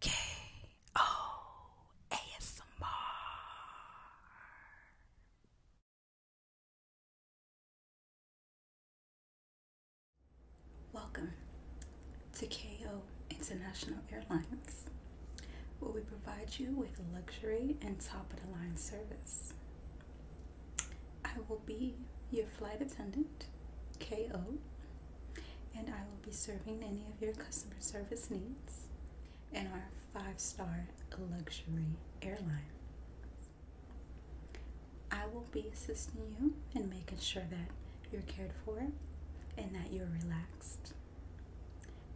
K O ASMR. Welcome to KO International Airlines, where we provide you with luxury and top of the line service. I will be your flight attendant, KO, and I will be serving any of your customer service needs in our five star luxury airline. I will be assisting you and making sure that you're cared for and that you're relaxed.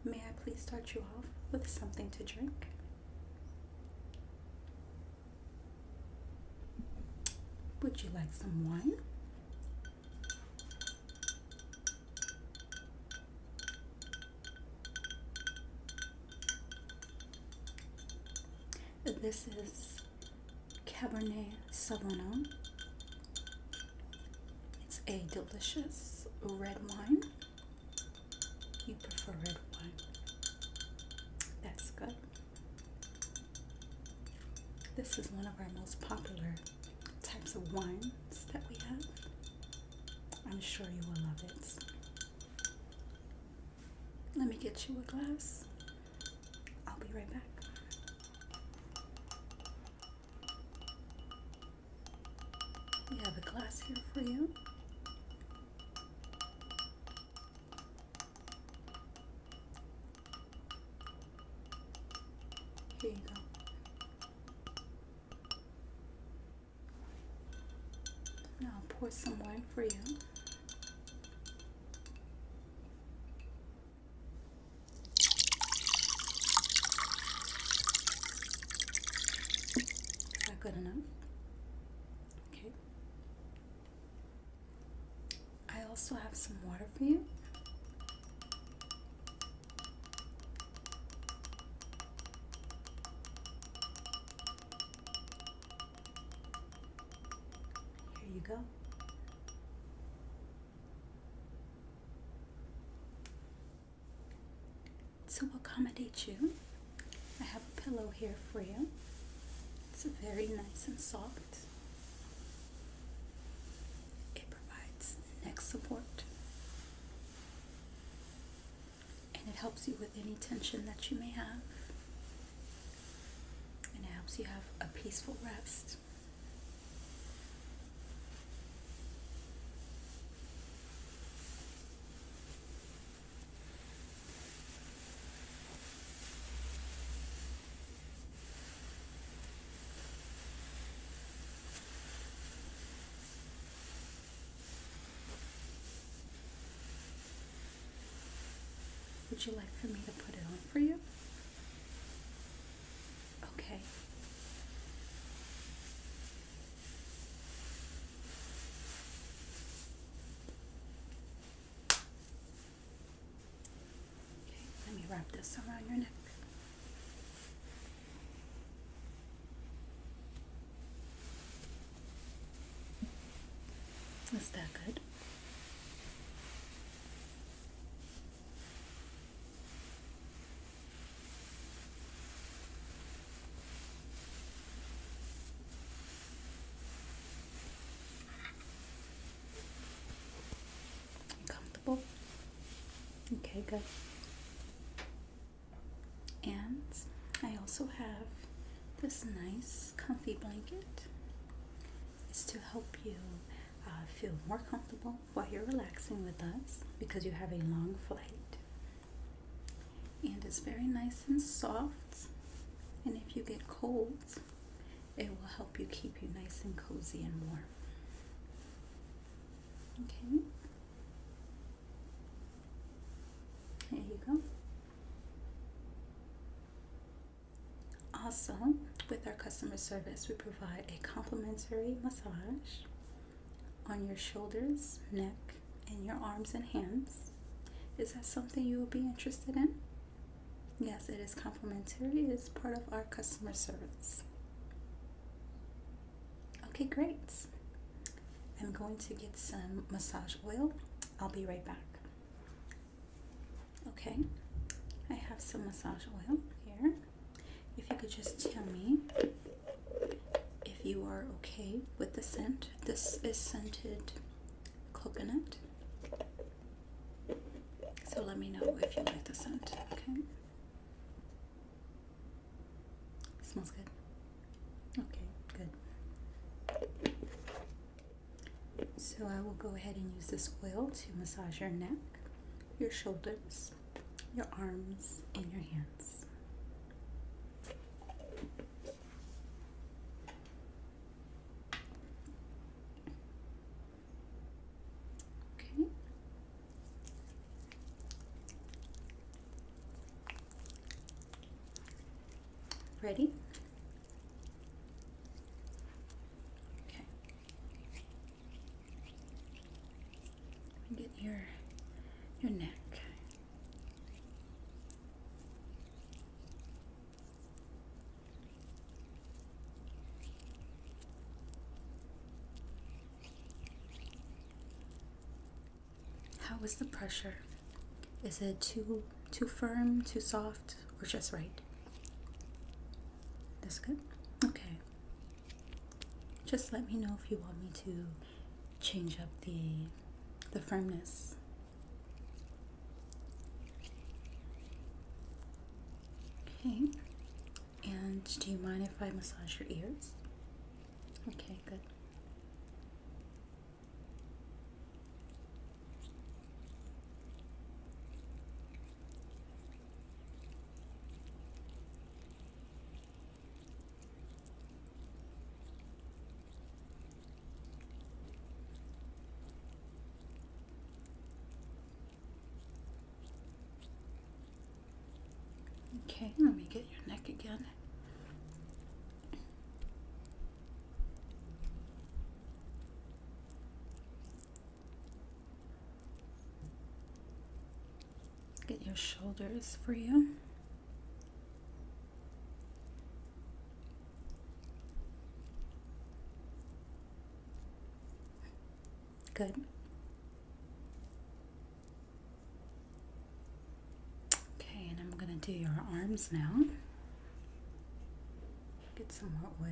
May I please start you off with something to drink? Would you like some wine? This is Cabernet Sauvignon. It's a delicious red wine. You prefer red wine. That's good. This is one of our most popular types of wines that we have. I'm sure you will love it. Let me get you a glass. I'll be right back. We have a glass here for you. Here you go. Now I'll pour some wine for you. Is good enough? Okay. I also have some water for you. Here you go. To accommodate you, I have a pillow here for you. It's very nice and soft. It provides neck support and it helps you with any tension that you may have, and it helps you have a peaceful rest. Would you like for me to put it on for you? Okay let me wrap this around your neck. Is that good? Comfortable? Okay, good. And I also have this nice comfy blanket. It's to help you uh, feel more comfortable while you're relaxing with us because you have a long flight. And it's very nice and soft. And if you get cold, it will help you keep you nice and cozy and warm. Okay. There you go. Also, with our customer service, we provide a complimentary massage on your shoulders, neck, and your arms and hands. Is that something you will be interested in? Yes, it is complimentary. It's part of our customer service. Okay, great. I'm going to get some massage oil. I'll be right back. Okay, I have some massage oil here. If you could just tell me if you are okay with the scent. This is scented coconut. So let me know if you like the scent, okay? smells good. Okay, good. So I will go ahead and use this oil to massage your neck, your shoulders, your arms, and your hands. Okay. Ready? Okay. Get your your neck. How is the pressure? Is it too too firm, too soft, or just right? That's good. Okay. Just let me know if you want me to change up the the firmness. Okay. And do you mind if I massage your ears? Okay, good. Okay, hmm. let me get your neck again. Get your shoulders for you. Good. Okay, and I'm going to do your arms now. Get some hot oil.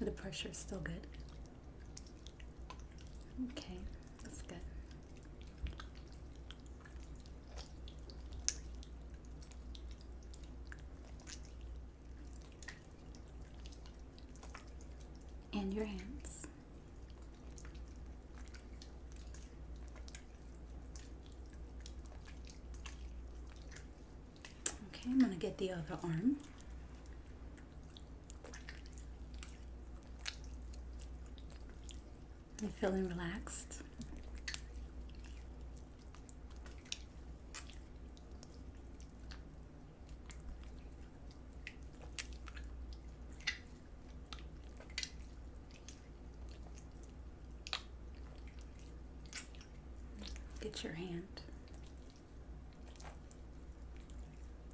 The pressure is still good. Okay, that's good and your hands. Okay, I'm going to get the other arm. I'm feeling relaxed. Get your hand.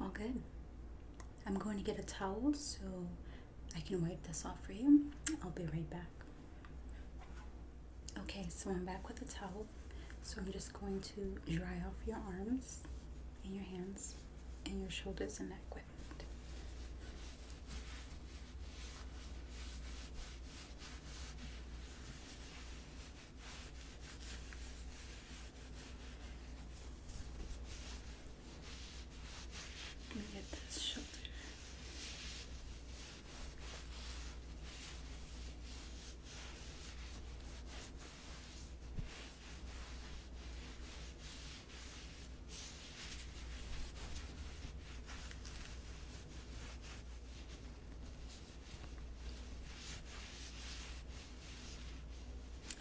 all good. I'm going to get a towel so I can wipe this off for you. I'll be right back. Okay, so I'm back with a towel. So I'm just going to dry off your arms and your hands and your shoulders and neck with it. Let me get this shot.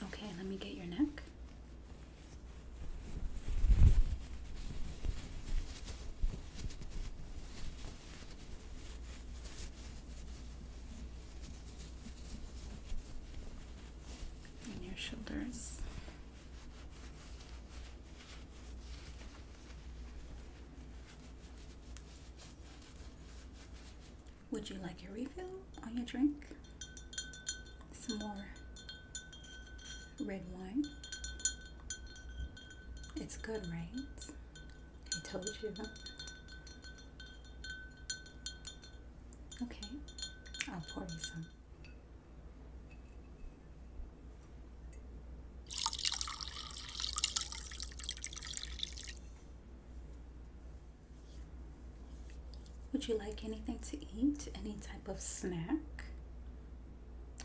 Okay, let me get your neck. And your shoulders. Would you like a refill on your drink? Some more red wine. It's good, right? I told you. Okay, I'll pour you some. Would you like anything to eat? Any type of snack?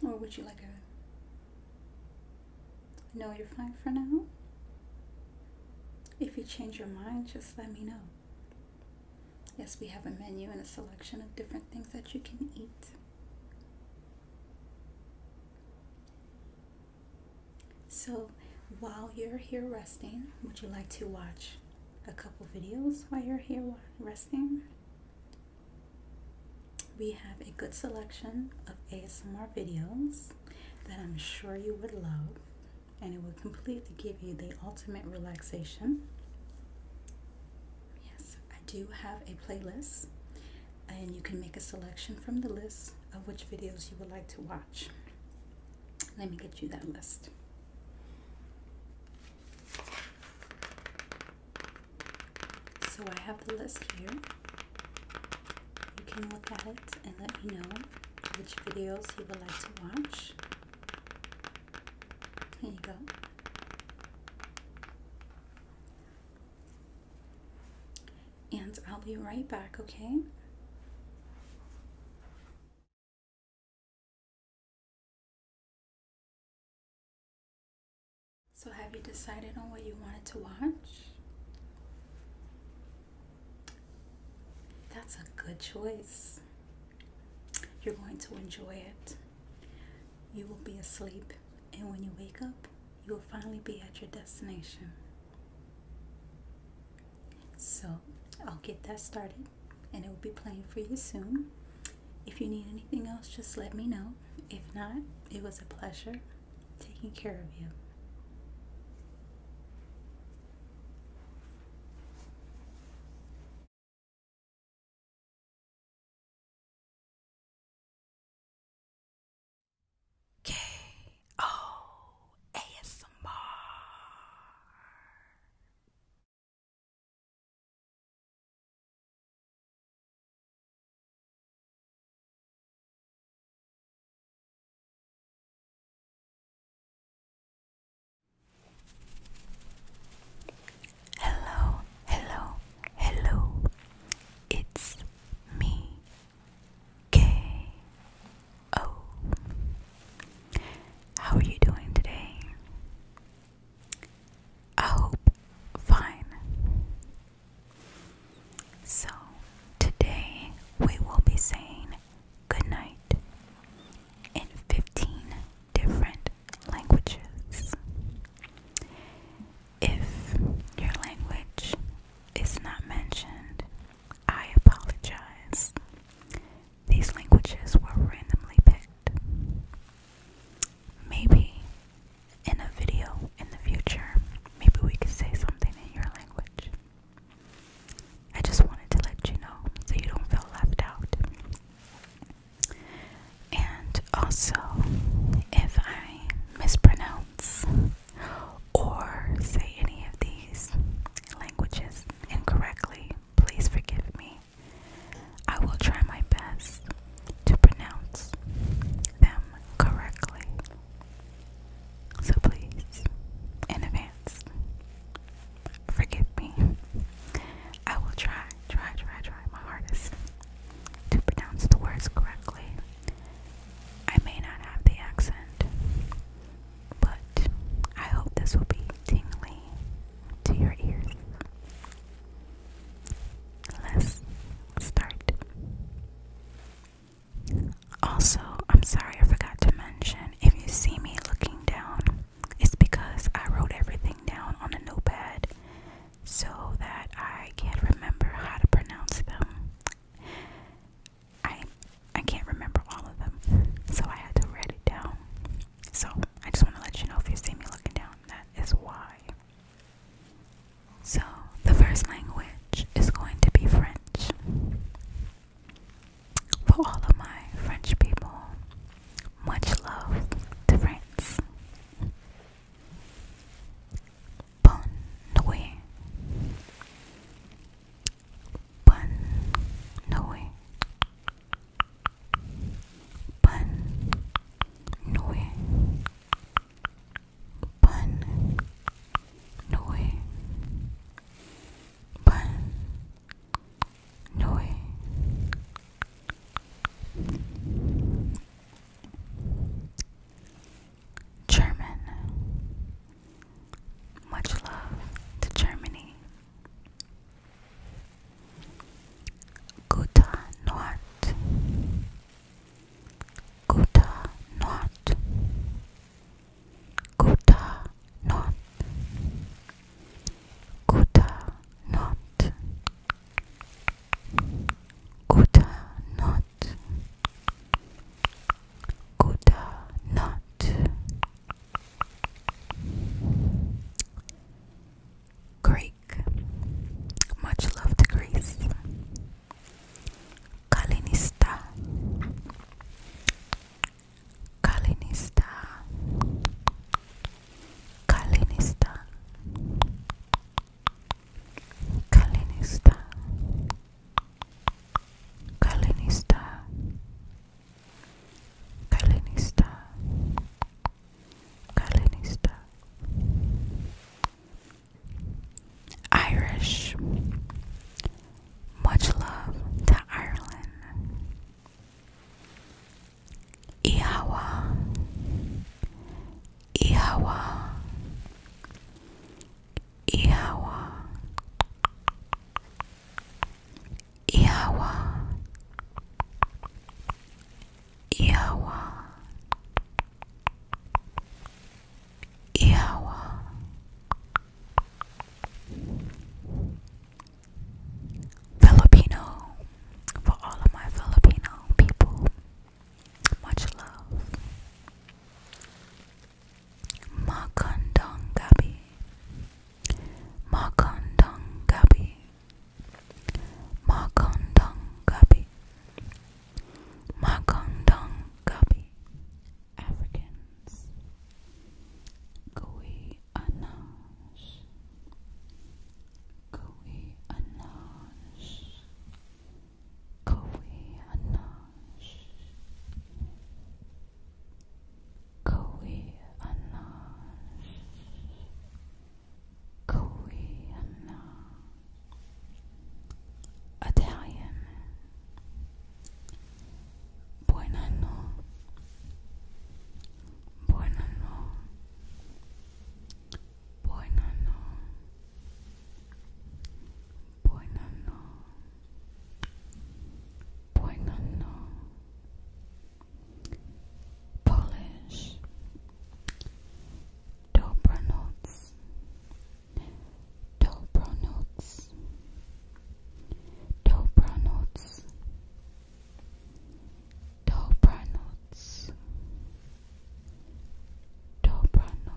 Or would you like a. No, you're fine for now? If you change your mind, just let me know. Yes, we have a menu and a selection of different things that you can eat. So, while you're here resting, would you like to watch a couple videos while you're here resting? We have a good selection of ASMR videos that I'm sure you would love, and it will completely give you the ultimate relaxation. Yes, I do have a playlist, and you can make a selection from the list of which videos you would like to watch. Let me get you that list. So I have the list here. You can look at it and let me know which videos you would like to watch. Here you go. And I'll be right back, okay? So, have you decided on what you wanted to watch? That's a good choice. You're going to enjoy it. You will be asleep, and when you wake up, you will finally be at your destination. So I'll get that started and it will be playing for you soon. If you need anything else, just let me know. If not, it was a pleasure taking care of you. K O Hello, hello, hello. It's me, K O. How are you doing today? I hope fine. So, today we will be saying good night in 15 different languages. If your language is not mentioned, I apologize. These languages were randomly picked. Maybe in a video in the future, maybe we could say something in your language. I just wanted to let you know so you don't feel left out. And also, if I mispronounce or say any of these languages incorrectly, please forgive me. I will try my best to pronounce them correctly. So please, in advance, forgive me. I will try, try, try, try my hardest to pronounce the words correctly. I may not have the accent, but I hope this will be tingly to your ears. Let's start. Also, I'm sorry I forgot to mention if you see me looking down, it's because I wrote everything down on a notepad so that I can remember how to pronounce them. I I can't remember all of them, so I had to write it down. So I just want to let you know if you see me looking down, that is why. So the first language is going to be French. For all of my French people, much love to France. Bon nuit. Bon nuit. Bon nuit. Bon nuit. Bon nuit. German. Much love to Germany. Guta Nord. Guta Nord. Guta Nord. Guta Nord. Guta Nord. Good night. Greek. Much love to Greece. Kalinista. Kalinista. Kalinista. Kalinista. Kalinista Kalinista Kalinista Irish Much love to Ireland Ihawa Ihawa Iowa, Iawa Iawa Iawa Filipino for all of my Filipino people much love Makondongabi Makondongabi Makondongabi Makondongabi Africans Kui Anash Kui Anash Kowi Anash Kowi Anash Kowi Anash Italian Buonanno Buonanno Buonanno Buonanno. Buonanno. Polish. Dobranoc. Dobranoc. Dobranoc. Dobranoc. Dobranoc. Dobranoc.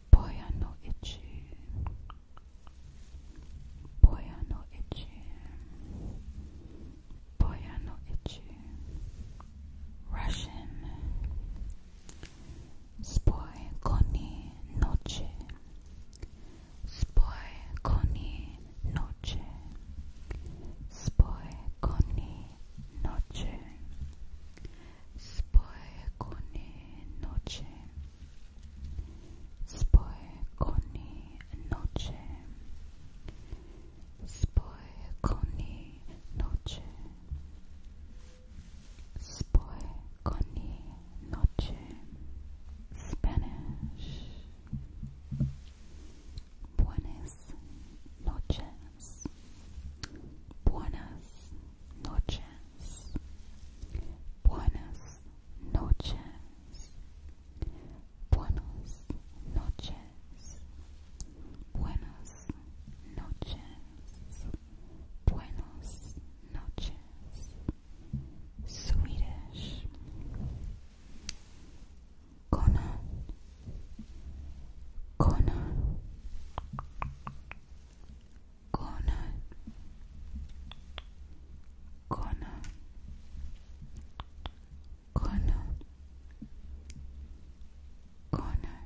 Boy, I know itchy. Boy, I know itchy. Boy, Russian. Spoy, koni, noche. Spoy, koni, noche. Spoy, koni, noche. Spokojnej noche. Spokojnej noche. Spokojnej noche. Spokojnej noche. Spanish. Buenas noches. Buenas noches, buenas noches, buenas noches, buenas noches, buenas noches, Swedish. Conan, Conan, corner corner corner corner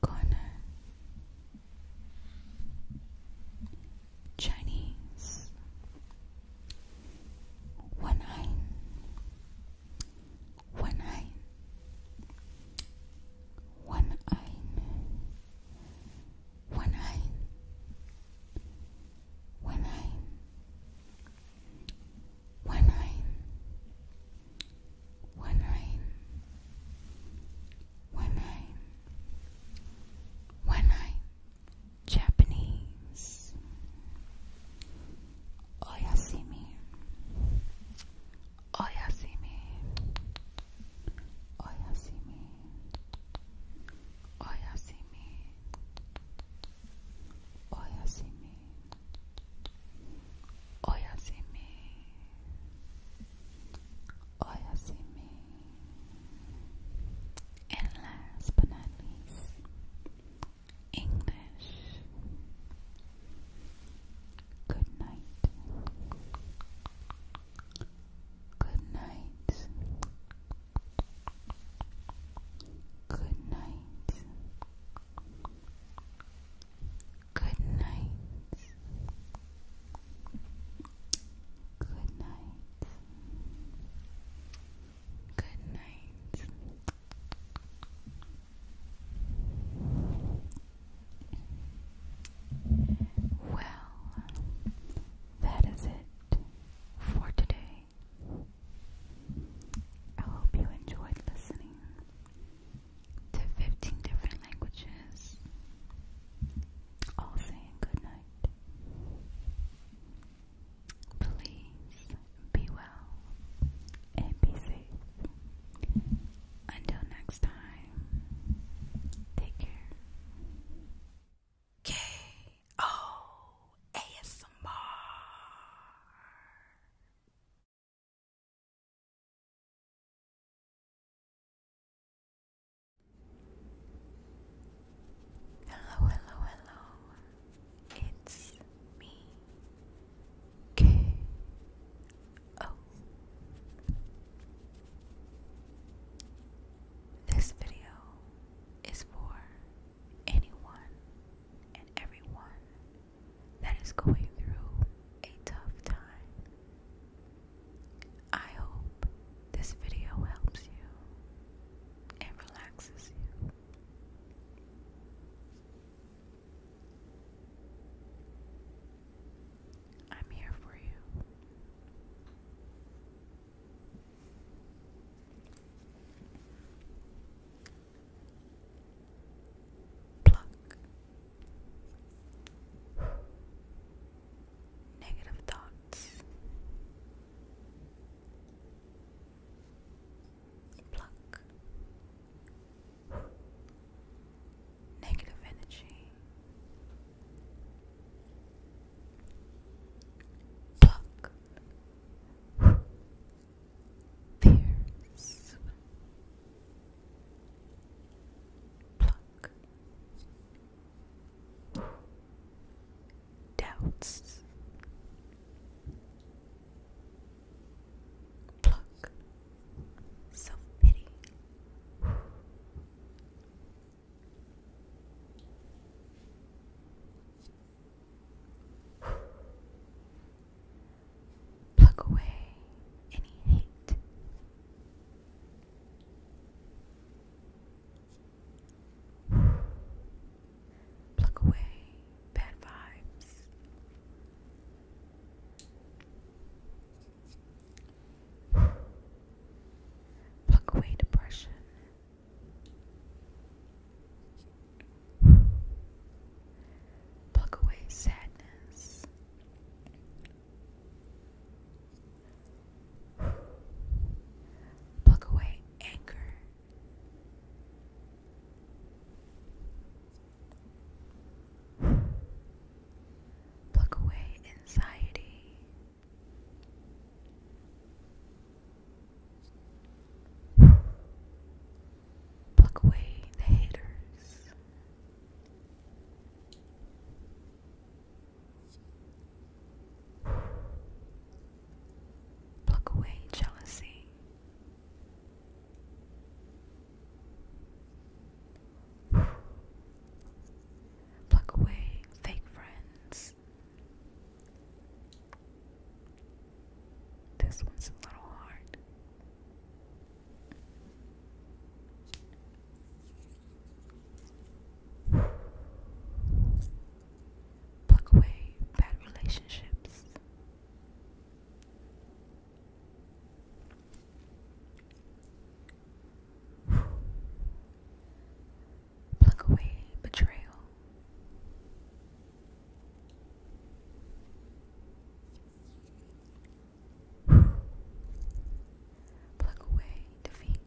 corner Chinese one eye one eye, one eye, one eye, one eye, one eye, one eye, one eye, one eye, Japanese. Oyasimi. Oyasimi. Oyasimi. Oyasimi. Oyasimi. Oyasimi. Oyasimi. And last but not least, English. Good night. Good night. Good night. Good night. Good night. Good night. Well, that is it for today. I hope you enjoyed listening to 15 different languages, all saying good Please be well, and be safe. Until next time, take care. K O Hello, hello, hello. It's me, K O. This video is for anyone and everyone that is going through a tough time. I hope this video helps you and relaxes you. I'm here for you. Pluck. Negative thoughts. Pluck negative energy. Pluck tears. Pluck doubts. Pluck. Self pity. Pluck away any hate. Pluck away bad vibes. Pluck away depression. Pluck away sadness. Pluck away anger. Pluck away anxiety. Pluck away the haters. Pluck away jealousy. Pluck away fake friends. This one's a little hard. Pluck away bad relationships. Plug away betrayal. Plug away defeat.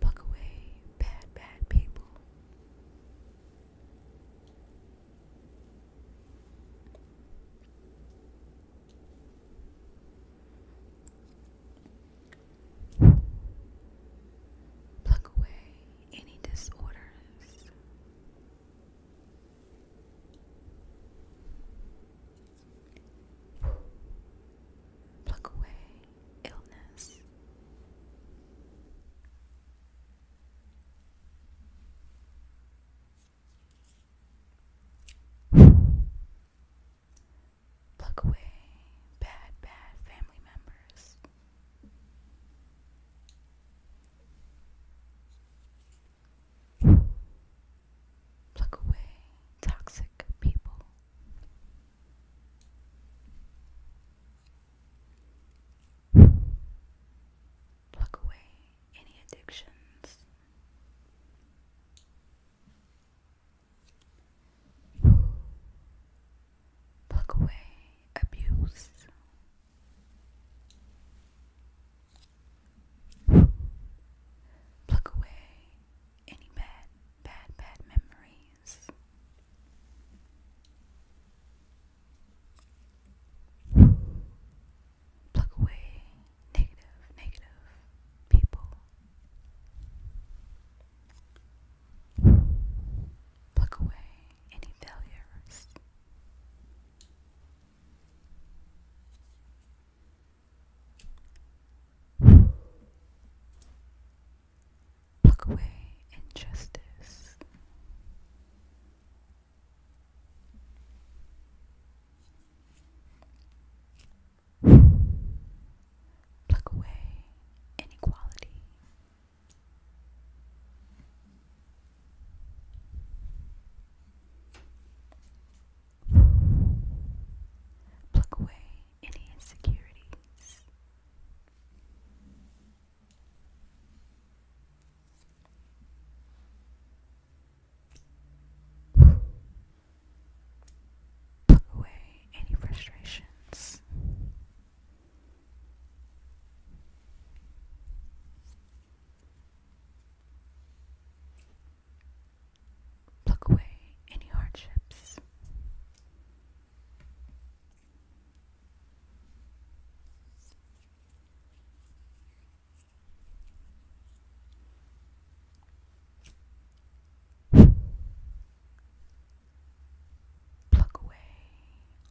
Buck away, bad, bad people. Pluck away any disorders. Pluck away illness. Pluck away bad, bad family members. Plug away toxic people. Pluck away any addictions. Pluck away abuse. Pluck away any bad, bad, bad memories. Pluck away negative, negative people. Pluck away any failures. Pluck away injustice. Pluck away inequality. Pluck away any insecurities. Pluck away any frustrations. Pluck away any hardships. Pluck away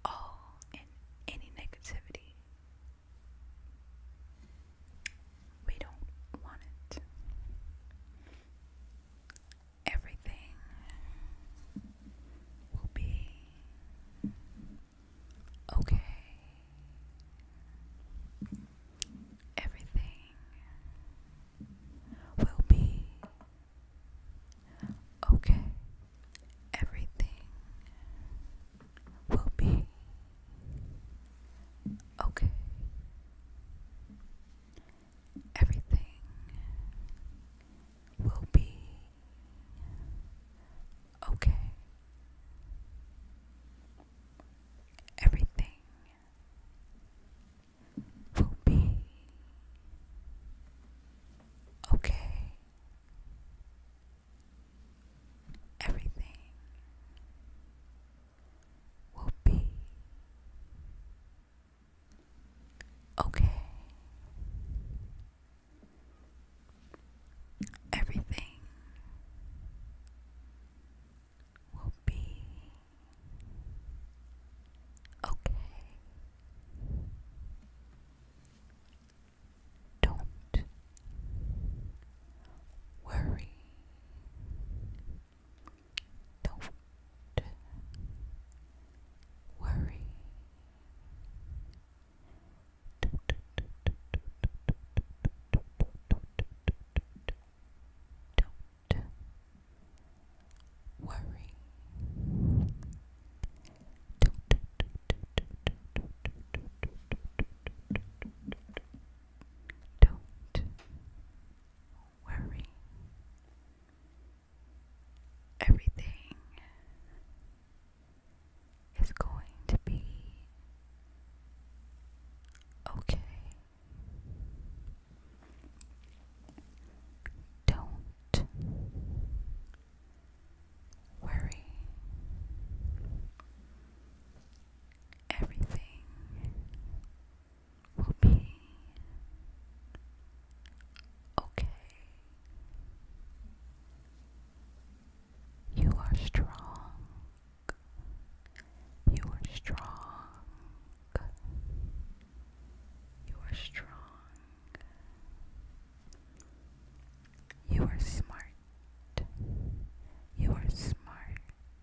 all and any negativity we don't want it. Everything will be okay. Everything will be okay. Everything will be Okay. Everything will be okay. Everything will be okay. Everything will be okay. Everything will be okay. Don't worry. Don't worry. Don't worry. Don't worry. Everything is going to be okay. Don't worry. Everything will be okay. You are strong. You are strong. You are strong. You are smart. You are smart.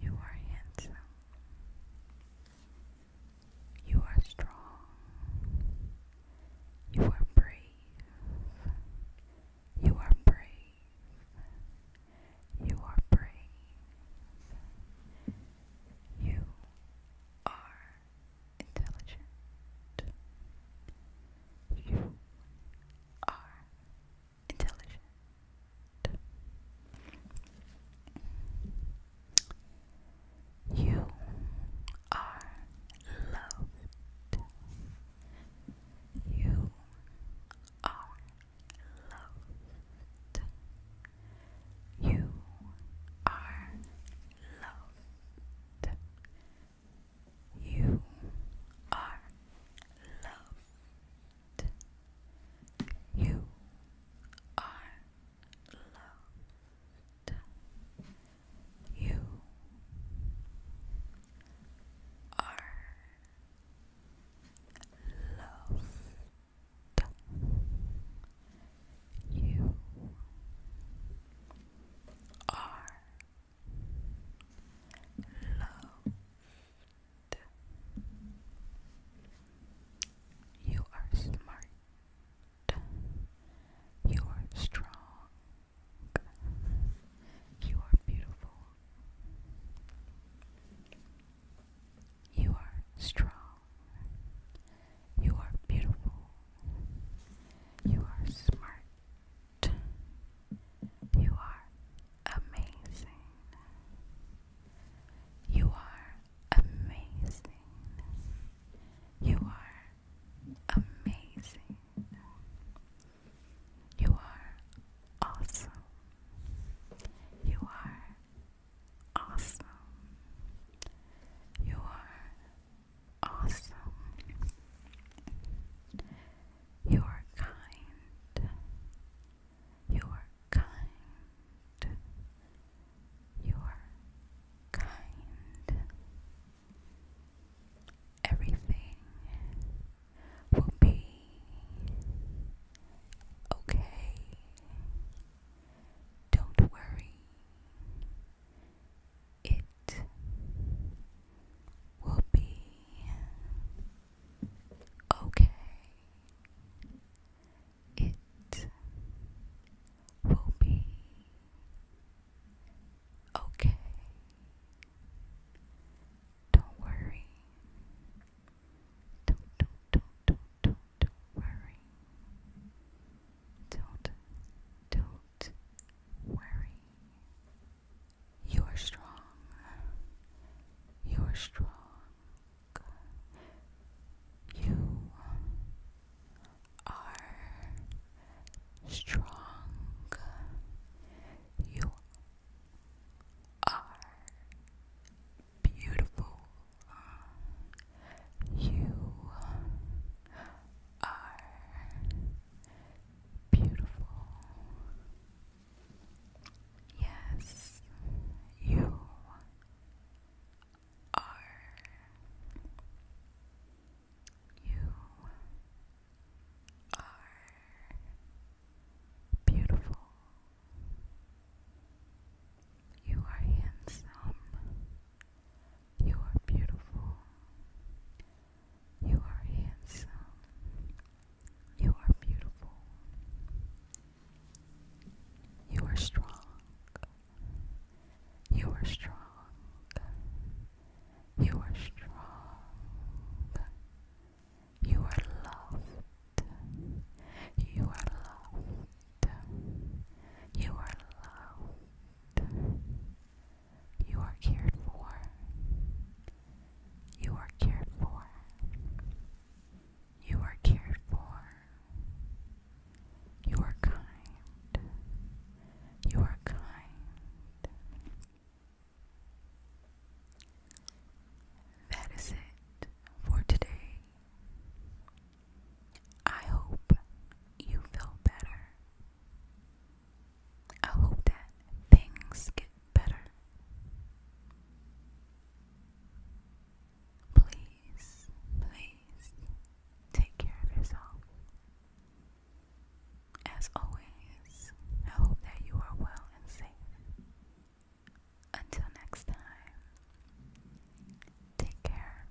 You are handsome. You are strong. You are brave. You are brave. You are brave. You are intelligent. You are intelligent. You are loved. You are loved. You are loved. You are loved. You are loved. You are loved. You are loved. You are smart. You are strong. You are beautiful. You are strong. You are beautiful. You are smart. You are amazing. You are amazing. You are amazing. You are awesome. You are awesome. You are awesome. You are kind. You are kind. You are kind. Everything will be okay. Don't worry. It will be Okay. It will be okay. Don't worry. Don't, don't, don't, don't, don't, worry. Don't, don't worry. You are strong. You are strong. You are strong. You are beautiful. You are beautiful. Yes, you are. You are beautiful. You are handsome. You are beautiful. You are handsome. You are beautiful. You are strong. You are strong. You are strong. You are loved. You are loved. You are loved. You are cared for. You are cared for. You are cared for. You are kind. You are kind. That is it for today. I hope you feel better. I hope that things get better. Please, please take care of yourself. As always, I hope that you are well and safe. Until next time, take care.